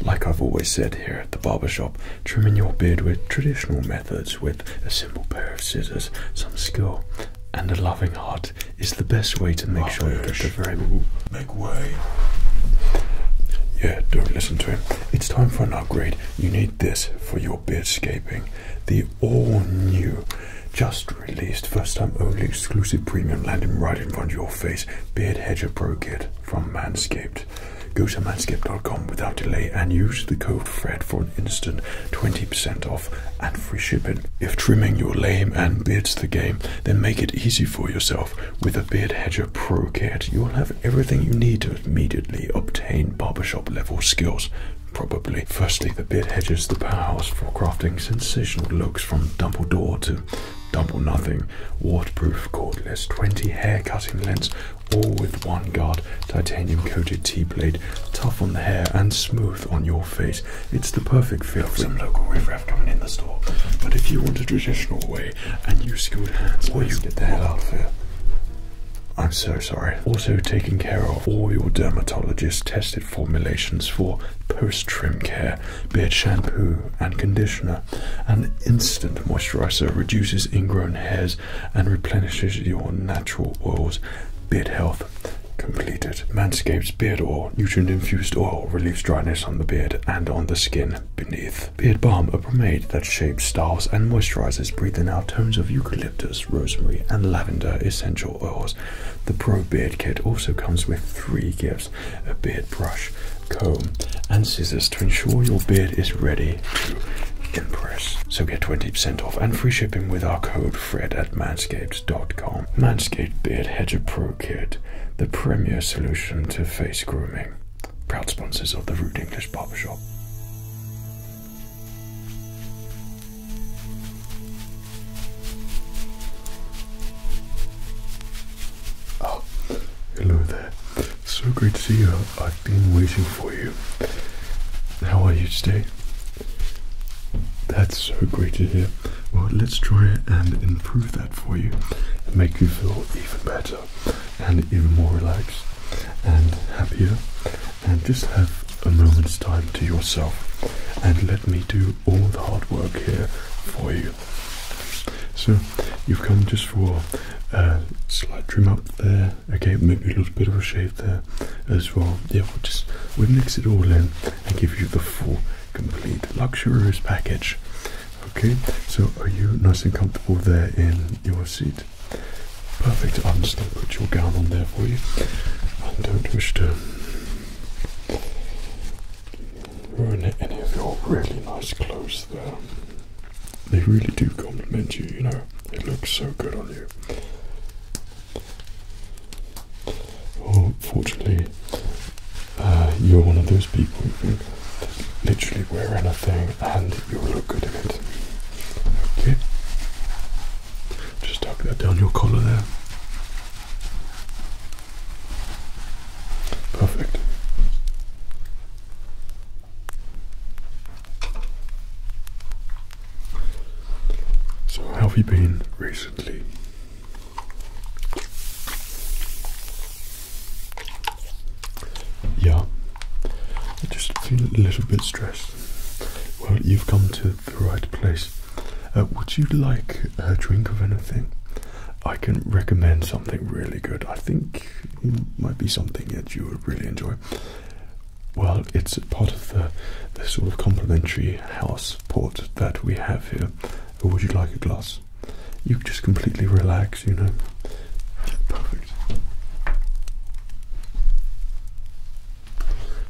Like I've always said here at the barber shop, trimming your beard with traditional methods with a simple pair of scissors, some skill, and a loving heart is the best way to make sure you get the very make way. Yeah, don't listen to him. It's time for an upgrade. You need this for your beardscaping. The all new, just released, first time only exclusive premium landing right in front of your face, Beard Hedger Pro Kit from Manscaped. Go to manscaped.com without delay and use the code FRED for an instant 20% off and free shipping. If trimming your lame and beard's the game, then make it easy for yourself with a Beard Hedger Pro Kit. You'll have everything you need to immediately obtain barbershop level skills probably. Firstly, the beard hedges the powerhouse for crafting sensational looks from Dumbledore to double nothing, waterproof cordless, 20 hair cutting lengths, all with one guard, titanium coated T-blade, tough on the hair and smooth on your face. It's the perfect fit for some local riffraff coming in the store. But if you want a traditional way and you've skilled hands, or you get the hell out of here. I'm so sorry. Also taking care of all your dermatologist tested formulations for post-trim care Beard shampoo and conditioner. An instant moisturizer reduces ingrown hairs and replenishes your natural oils. Beard health completed. Manscaped's beard oil, nutrient infused oil, relieves dryness on the beard and on the skin beneath. Beard balm, a pomade that shapes, styles, and moisturizes, breathing out tones of eucalyptus, rosemary, and lavender essential oils. The Pro Beard Kit also comes with three gifts a beard brush, comb, and scissors to ensure your beard is ready to impress. So get 20% off and free shipping with our code FRED at manscaped.com. Manscaped Beard Hedger Pro Kit, the premier solution to face grooming. Proud sponsors of the Rude English Barber Shop. Oh, hello there. So great to see you. I've been waiting for you. How are you today? That's so great to hear. Well, let's try and improve that for you make you feel even better and even more relaxed and happier. And just have a moment's time to yourself and let me do all the hard work here for you. So you've come just for a slight trim up there, okay, maybe a little bit of a shave there as well. Yeah, we'll just we'll mix it all in and give you the full, complete, luxurious package. Okay, so are you nice and comfortable there in your seat? Perfect. I'm just put your gown on there for you. I don't wish to ruin any of your really nice clothes there. They really do compliment you, you know. It looks so good on you. Well, fortunately, uh, you're one of those people who can literally wear anything and you'll look good in it. Okay. Just tuck that down your collar there. Perfect. So, how have you been recently? Yeah, I just feel a little bit stressed. Well, you've come to the right place. Uh, would you like a drink of anything? I can recommend something really good. I think it might be something that you would really enjoy. Well, it's part of the, the sort of complimentary house port that we have here. would you like a glass? You can just completely relax, you know. Perfect.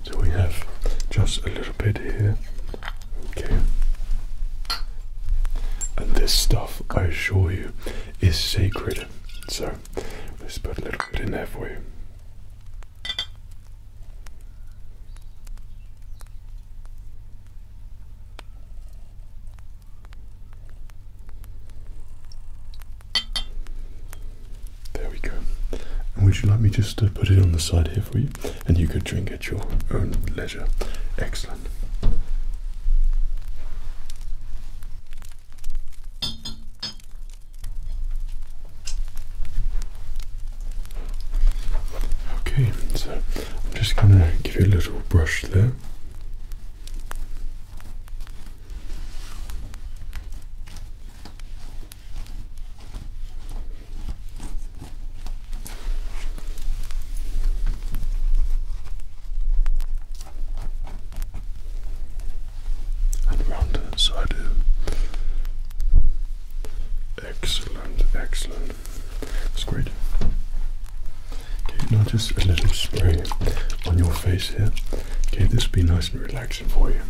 So we have just a little bit here Okay. And this stuff, I assure you, is sacred. So let's put a little bit in there for you. There we go. would you like me just put it on the side here for you? and you could drink at your own leisure. Excellent. Okay, so I'm just going to give you a little brush there and round that side Excellent, excellent. That's great. Okay, now just a little spray on your face here. Okay, this will be nice and relaxing for you.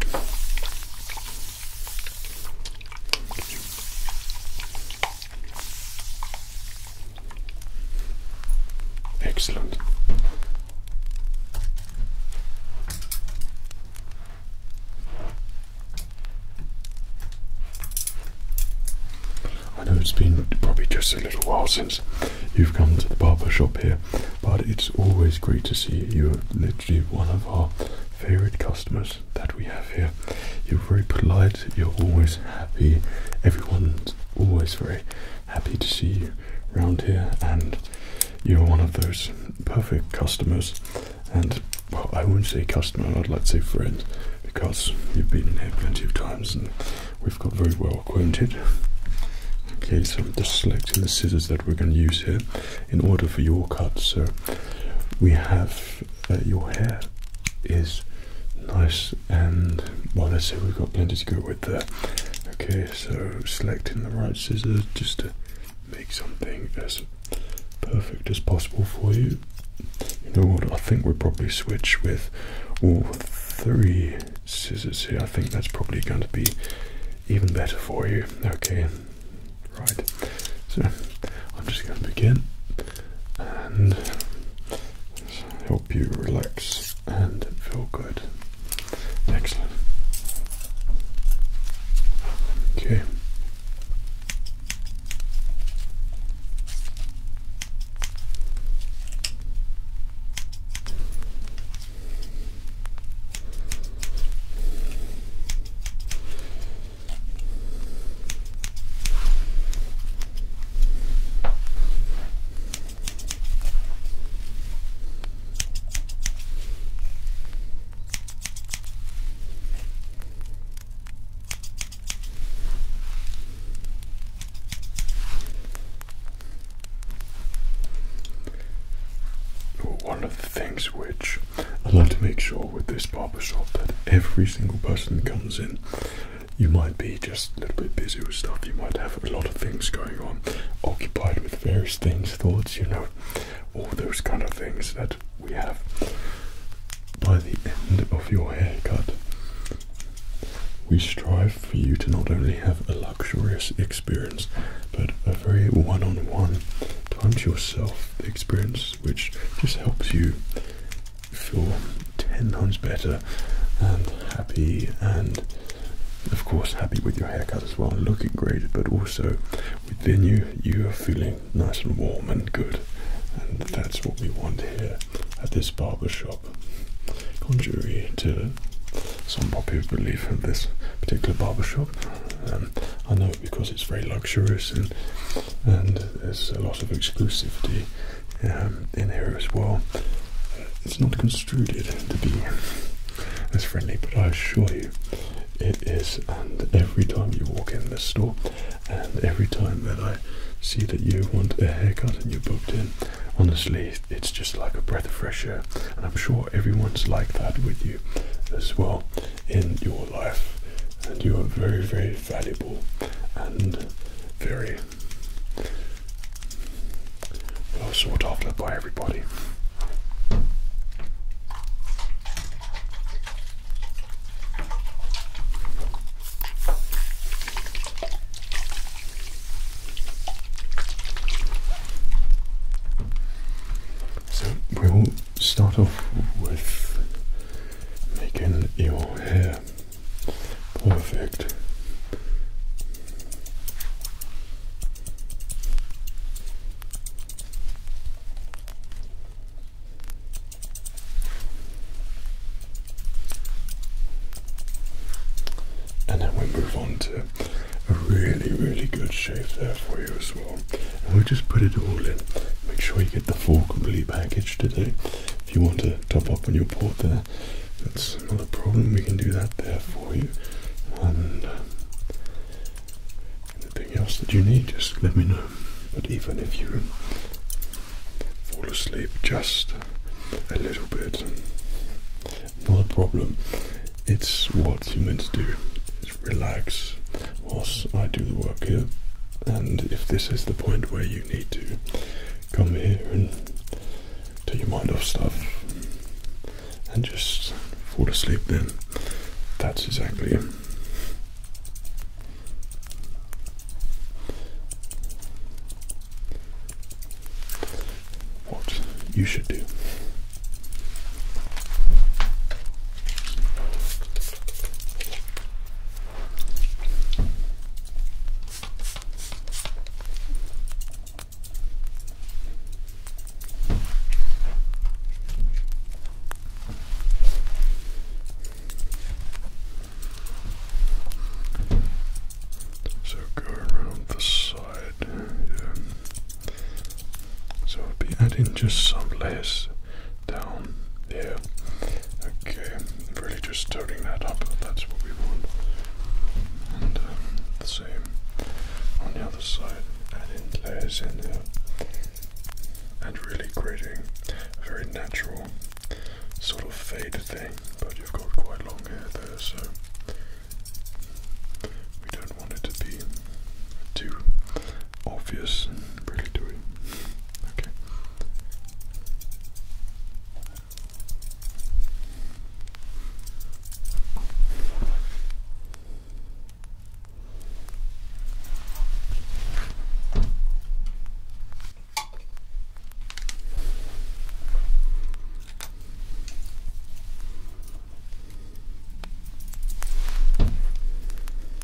Excellent. I know it's been probably just a little while since you've come to the barber shop here, but it's always great to see you. are literally one of our favourite customers that we have here. You're very polite, you're always happy, everyone's always very happy to see you around here, and you're one of those perfect customers. And I wouldn't say customer, I'd like to say friend, because you've been here plenty of times and we've got very well acquainted. Okay, so I'm just selecting the scissors that we're going to use here in order for your cut. So we have your hair is nice and well let's say we've got plenty to go with there okay so selecting the right scissors just to make something as perfect as possible for you you know what i think we'll probably switch with all three scissors here i think that's probably going to be even better for you okay Right, so I'm just going to begin and help you relax and feel good. Excellent. Okay. One of the things which I'd like to make sure with this barber shop that every single person that comes in, you might be just a little bit busy with stuff, you might have a lot of things going on, occupied with various things, thoughts, you know, all those kind of things that we have. By the end of your haircut, we strive for you to not only have a luxurious experience, but a very one on one, time to yourself experience which just helps you feel 10 times better and happy and of course happy with your haircut as well looking great but also within you you are feeling nice and warm and good and that's what we want here at this barber shop contrary to some popular belief in this particular barber shop um, i know it because it's very luxurious and and there's a lot of exclusivity um, in here as well. It's not construed to be as friendly, but I assure you it is. And every time you walk in this store, and every time that I see that you want a haircut and you're booked in, honestly, it's just like a breath of fresh air. And I'm sure everyone's like that with you as well in your life, and you are very, very valuable and very sought after by everybody. So we'll start off with making your hair perfect. And then we move on to a really, really good shape there for you as we'll just put it all in. Make sure you get the full complete package today. If you want to top up on your port there, that's not a problem. We can do that there for you. And uh, anything else that you need, just let me know. But even if you fall asleep just a little bit, not a problem. It's what you meant to do relax whilst I do the work here. And if this is the point where you need to come here and take your mind off stuff and just fall asleep, then that's exactly it. What you should do. So go around the side, yeah. So I'll be adding just some layers down yeah. Okay, really just toting that up, that's what we want. And um, the same on the other side, in layers in there and really creating very natural sort of fade thing, but you've got quite long hair there, so we don't want it to be too obvious and regulatory. Okay. Okay.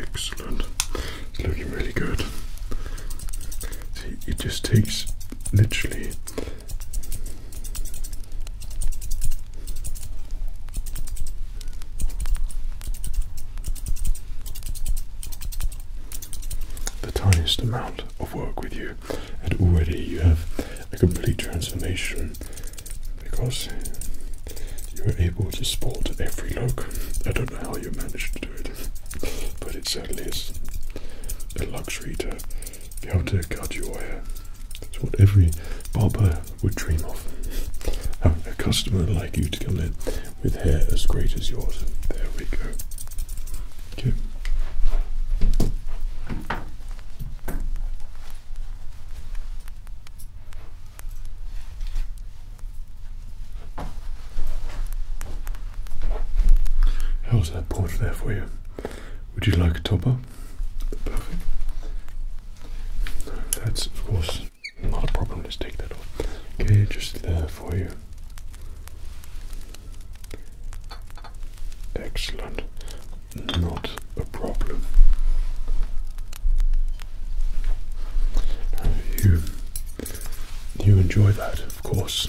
Excellent. It's looking really good. See, it just takes literally the tiniest amount of work with you, and already you have a complete transformation because you are able to spot every look. I don't know how you managed to do it, but it certainly is a luxury to be able to cut your hair. It's what every barber would dream of. Having a customer like you to come in with hair as great as yours. There we go. Okay. How's that porch there for you? Would you like a topper? Perfect. That's of course not a problem, Just take that off. Okay, just there for you. Excellent. Not a problem. You, you enjoy that, of course.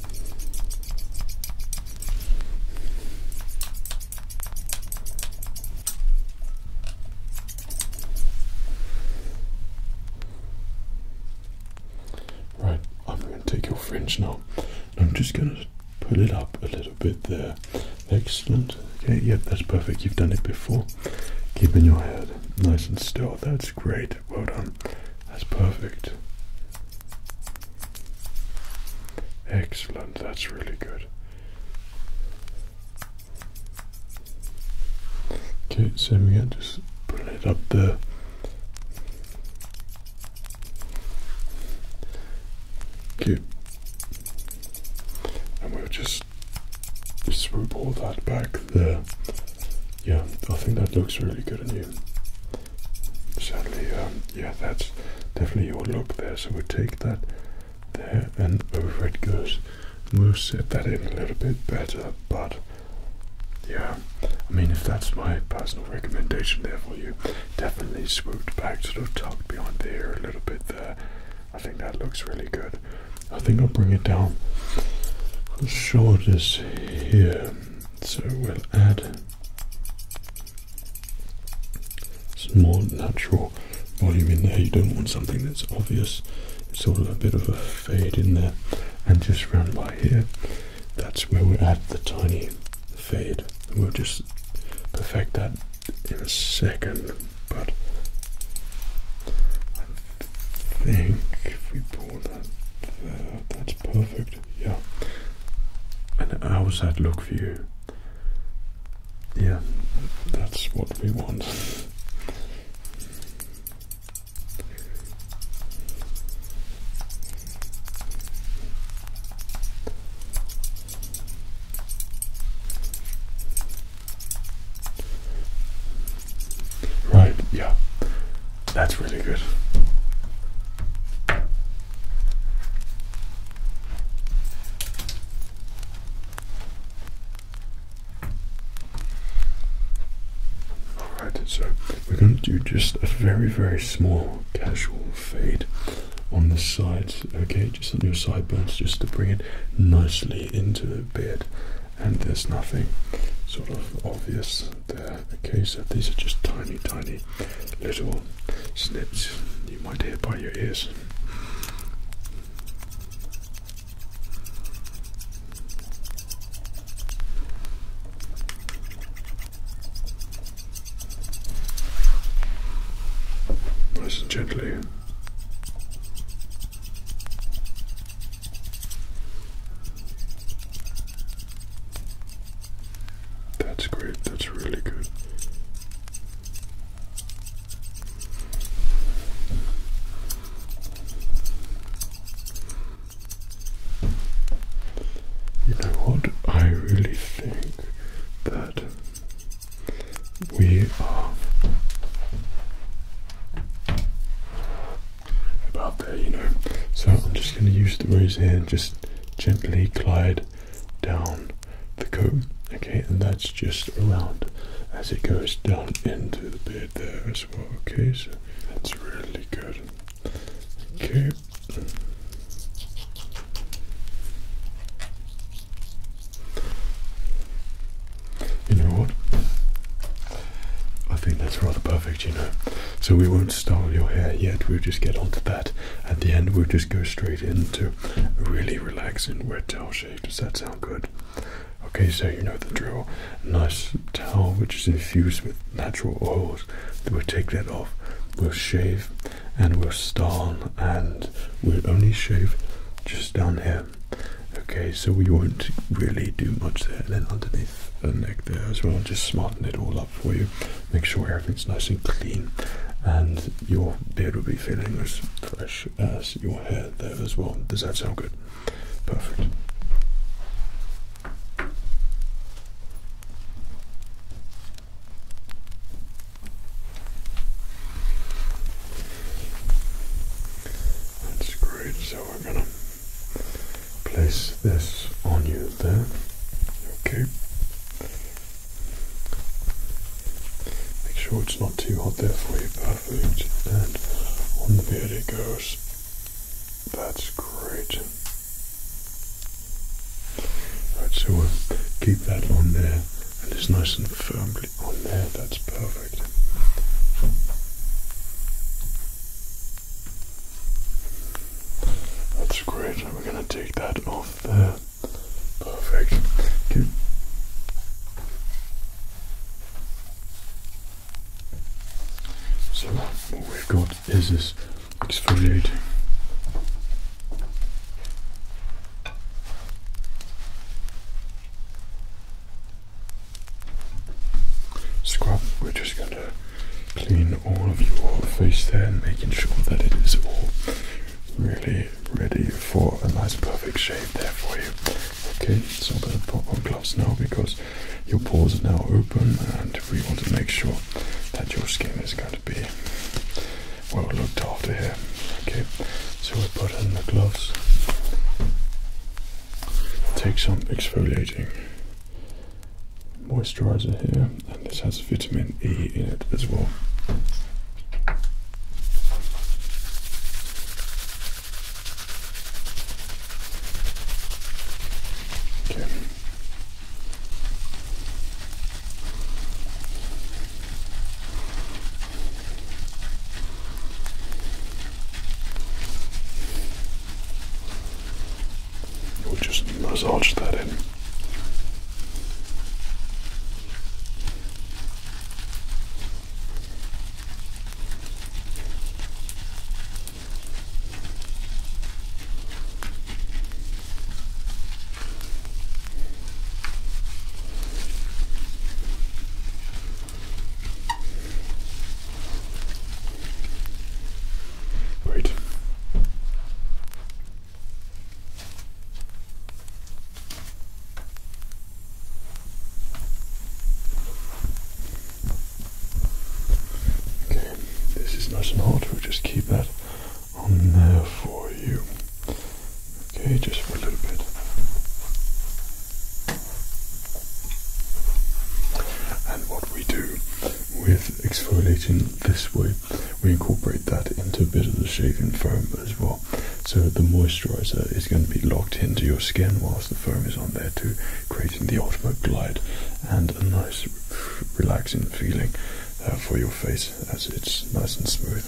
Right, I'm going to take your fringe now. I'm just going to pull it up a little bit there. Excellent. Okay, yep, that's perfect. You've done it before. Keep in your head nice and still. That's great well done. That's perfect. Excellent, that's really good. Okay, so we can just put it up there. Okay. And we'll just swoop all that back there. Yeah, I think that looks really good on you. Sadly, um, yeah, that's definitely your look there. So we'll take that there and over it goes. And we'll set that in a little bit better, but yeah, I mean, if that's my personal recommendation there for you, definitely swooped back, sort of tucked behind there a little bit there. I think that looks really good. I think I'll bring it down. The shoulders here. So we'll add some more natural volume in there. You don't want something that's obvious. It's sort of a bit of a fade in there. And just round by here, that's where we will add the tiny fade. we'll just perfect that in a second. But think if we pull that uh, that's perfect. Yeah. And how that look for you? Yeah, that's what we want. Right, yeah. That's really good. Alright, so we're going to do just a very, very small casual fade on the sides, okay, just on your sideburns, just to bring it nicely into the beard and there's nothing sort of obvious there. Okay, so these are just tiny, tiny little snips you might hear by your ears. Nice and gently. That's great, that's really good. You what? I really think that we are about there, you know. So I'm just going to use the rose here just gently glide down the coat, okay, and that's just around as it goes down into the beard there as well, okay, so that's really good. Okay. You know what? I think that's rather perfect, you know. So we won't style your hair yet, we'll just get onto that. At the end, we'll just go straight into really relaxing wet towel shave. Does that sound good? Okay, so you know the drill. nice towel which is infused with natural oils. We'll take that off, we'll shave, and we'll style, and we'll only shave just down here. Okay, so we won't really do much there. Then underneath the neck there as well, just smarten it all up for you. Make sure everything's nice and clean, and your beard will be feeling as fresh as your hair there as well. Does that sound good? Perfect. That's great. So we're gonna place this on you there. Okay. Make sure it's not too hot there for you. Perfect. And on the beard it goes. That's great. Right, so keep that on there and it's nice and firmly on there. That's perfect. That's great. we're going to take that off there. Perfect. So what we've got is this exfoliating scrub. We're just going to clean all of your face there and making sure that it is all really ready for a nice perfect shave there for you. Okay, so I'm going to put on gloves now because your pores are now open and we want to make sure that your skin is going to be well looked after here. Okay, so we put on the gloves. Take some exfoliating moisturizer here, and this has vitamin E in it as well. Okay. We'll just massage that in. Great. Okay, this is nice and hot, we'll just keep that on there for you. Okay, just for a little bit. And what we do with exfoliating this way, we incorporate that into a bit of the shaving foam as well. So the moisturizer is going to be locked into your skin whilst the foam is on there too, creating the ultimate glide and a nice relaxing feeling uh, for your face as it's nice and smooth.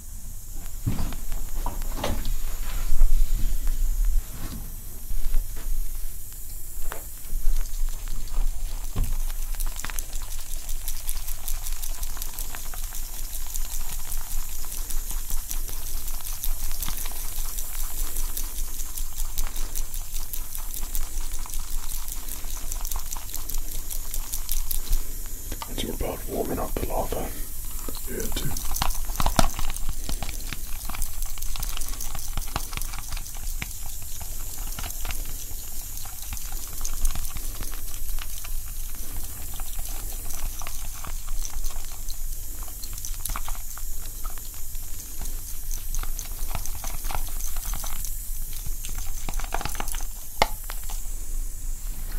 It's your body warming up the lava here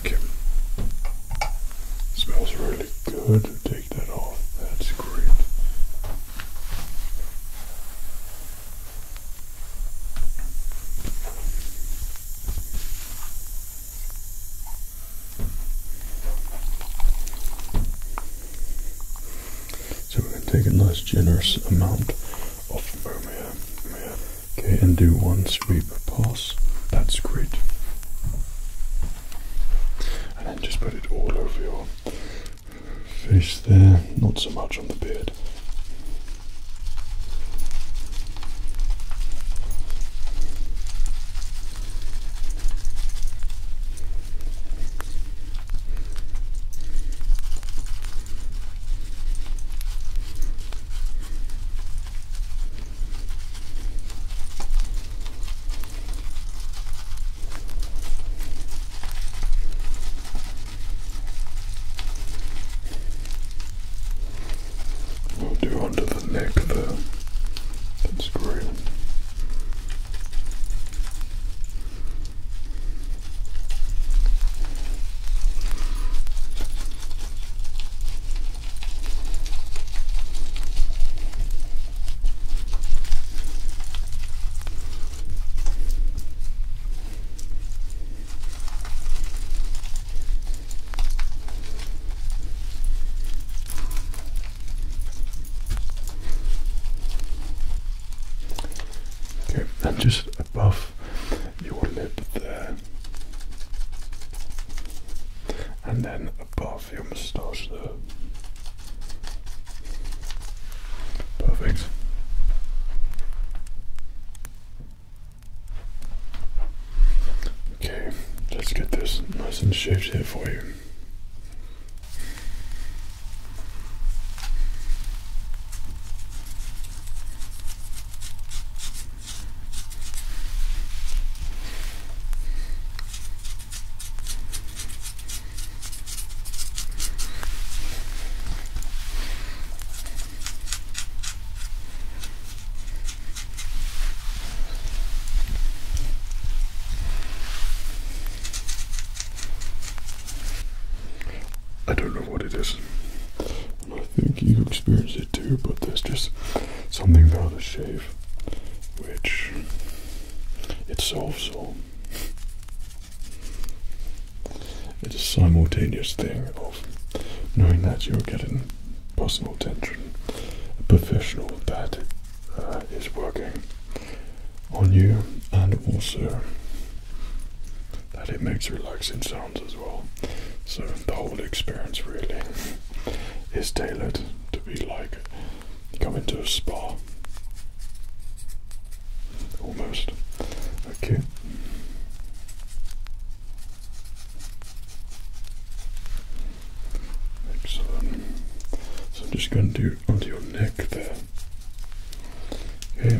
Okay. Smells really good. Take that off. That's great. So we're going to take a nice generous amount of ammonia, okay, and do one cerebral pulse. That's great. And then just put it all over your face there, not so much on the beard. We'll do under the neck there. That's great. Okay, and just above your lip there and then above your moustache there. Perfect. Okay, let's get this nice and shaped here for you. I don't know what it is. I think you experienced it too, but there's just something about a shave which it solves all. It's a simultaneous thing of knowing that you're getting personal attention, a professional that uh, is working on you, and also that it makes relaxing sounds so the whole experience really is tailored to be like coming to a spa almost. Okay. Excellent. So I'm just going to do onto your neck there. Okay.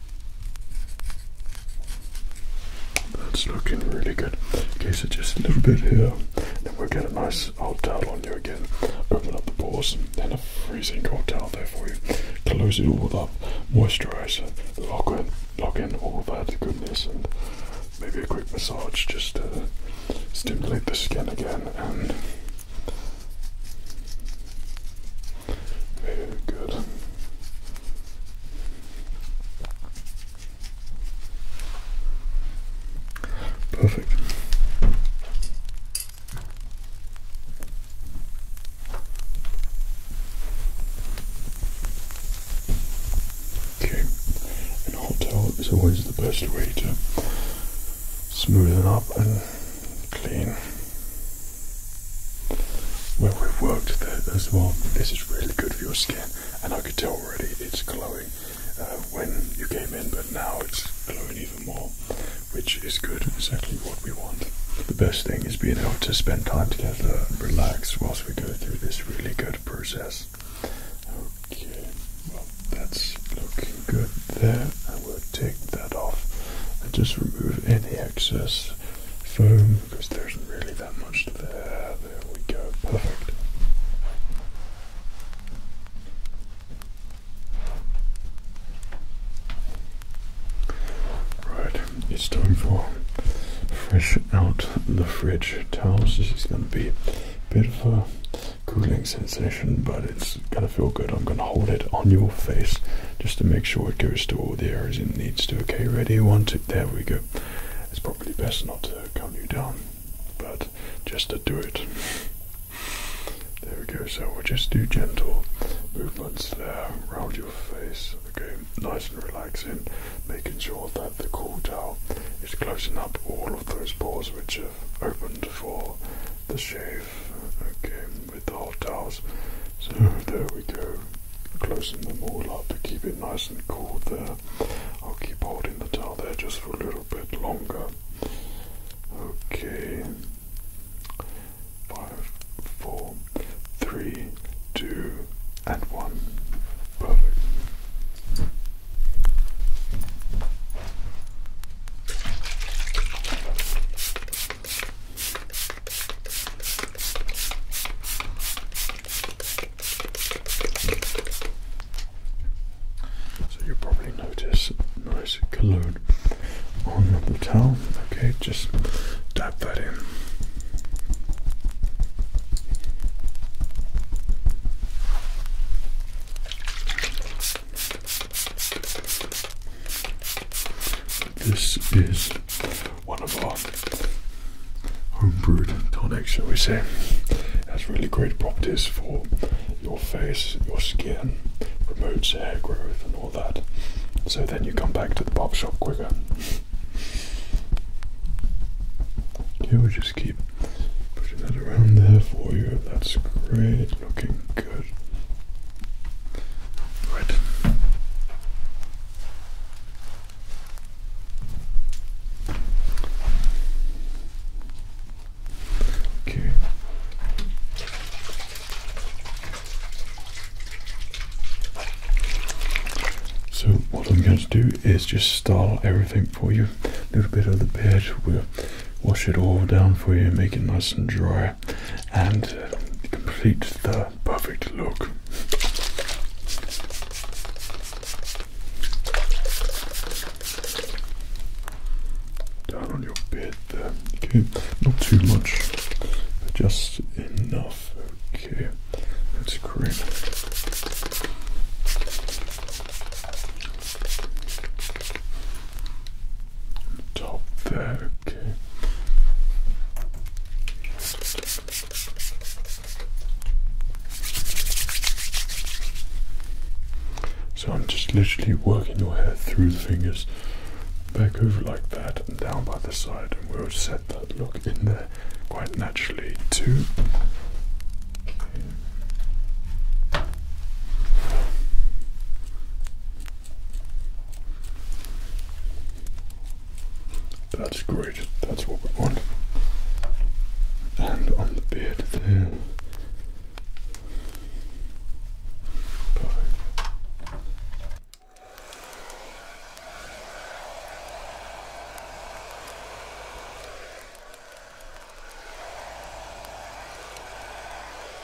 That's looking really good. Okay, so just a little bit here, then we'll get a nice old towel on you again. Open up the pores, then a freezing cold towel there for you. Close it all up, moisturise, lock in, lock in all that goodness, and maybe a quick massage just to stimulate the skin again. And very good. Perfect. Okay, a hot is always the best way to smoothen up and clean well, we've worked there as well. This is really good for your skin, and I could tell already it's glowing uh, when you came in, but now it's glowing even more, which is good. Exactly what we want. The best thing is being able to spend time together, and relax whilst we go through this really good process. Okay, well that's looking good there, I will take that off and just remove any excess foam because there's really that much there. There we go, perfect. Right, it's time for fresh out the fridge towels. This is going to be a bit of a cooling sensation, but it's going to feel good. I'm going to hold it on your face just to make sure it goes to all the areas it needs to. Okay, ready? One, two, there we go. It's probably best not to calm you down, but just to do it. There we go. So we'll just do gentle movements there around your face. Okay, nice and relaxing, making sure that the cool towel is closing up all of those pores which have opened for the shave. Okay, with the hot towels. So there we go, closing them all up to keep it nice and cool there. I'll keep holding the towel there just for a little bit longer. Okay, five, four, three, two, and one. Perfect. So you'll probably notice nice cologne on the towel. Okay, just dab that in. This is one of our homebrewed tonics, shall we say. has really great properties for your face, your skin, promotes hair growth and all that. So then you come back to the barber shop quicker. Here we just keep putting that around there for you. That's great, looking good. Right. Okay. So what I'm going to do is just style everything for you. A little bit of the bed, we'll wash it all down for you, make it nice and dry and uh, complete the perfect look. Down on your bed there. Okay, not too much, just enough. Okay, that's great top there, okay. So I'm just literally working your hair through the fingers, back over like that, and down by the side, and we'll set that look in there quite naturally too. That's great, that's what we want. And on the beard there. Perfect.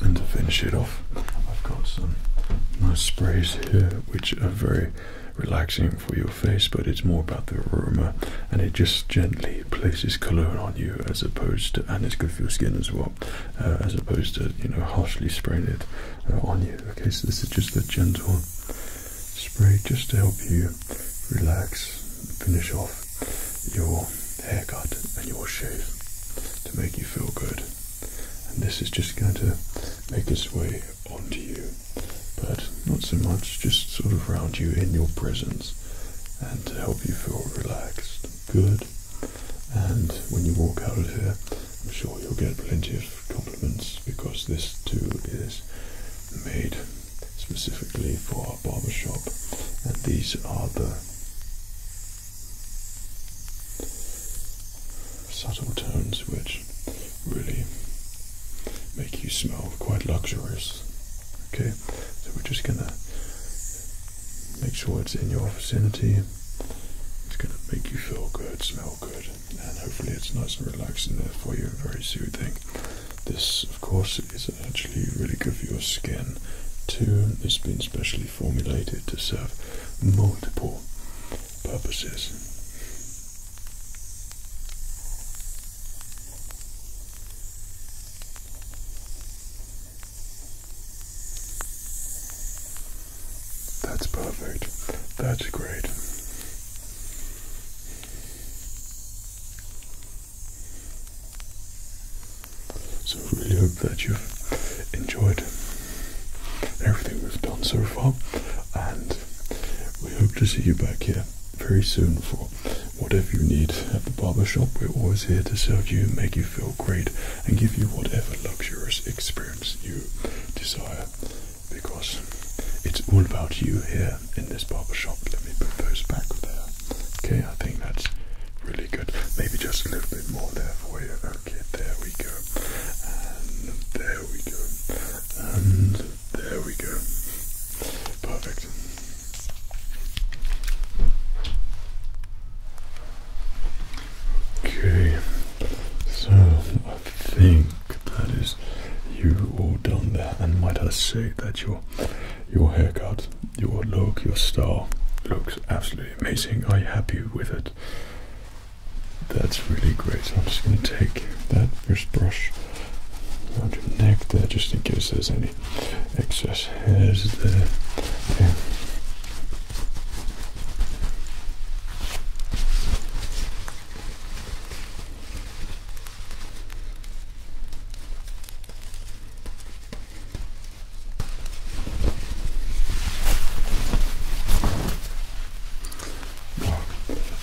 And to finish it off, I've got some nice sprays here which are very relaxing for your face, but it's more about the aroma and it just gently places cologne on you as opposed to, and it's good for your skin as well, uh, as opposed to, you know, harshly spraying it uh, on you. Okay, so this is just a gentle spray just to help you relax, finish off your haircut and your shave to make you feel good. And this is just going to make its way onto you, but not so much, just sort of round you in your presence and to help you feel relaxed, good. And when you walk out of here, I'm sure you'll get plenty of compliments because this too is made specifically for a shop, and these are the subtle tones which really make you smell quite luxurious. Okay, so we're just gonna make sure it's in your vicinity. It's gonna make you feel good, smell good and hopefully it's nice and relaxing there for you, very soothing. This, of course, is actually really good for your skin too. It's been specially formulated to serve multiple purposes. That's perfect. That's great. So we really hope that you've enjoyed everything we've done so far and we hope to see you back here very soon for whatever you need at the barber shop. We're always here to serve you, make you feel great and give you whatever luxurious experience you desire because it's all about you here in this barber shop. Let me put those back there. Okay, I think that's really good. Maybe just a little bit more there for you. Okay, there we go. And there we go. And there we go. Perfect. Okay, so I think that is you all done there. And might I say that your your haircut, your look, your style looks absolutely amazing. Are you happy with it? That's really great. I'm just going to take that first brush around your neck there, just in case there's any excess hairs there.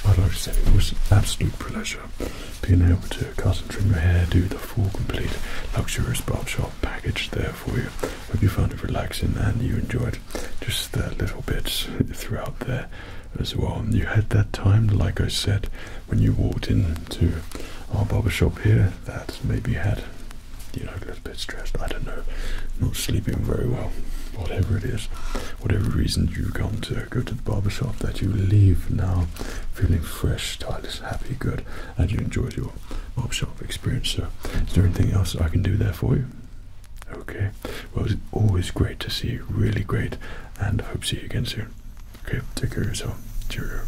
Well, I'd it was an absolute pleasure being able to cut and trim your hair, do the full complete luxurious barbershop package there for you. Hope you found it relaxing and you enjoyed just the little bits throughout there as well. You had that time, like I said, when you walked into our barber shop here that maybe had you know, a little bit stressed, I don't know, not sleeping very well, whatever it is, whatever reason you have gone to go to the barber shop, that you leave now feeling fresh, tireless, happy, good, and you enjoyed your barber shop experience. So, is there anything else I can do there for you? Okay, well, it's always great to see you, really great, and hope to see you again soon. Okay, take care of yourself. Cheerio.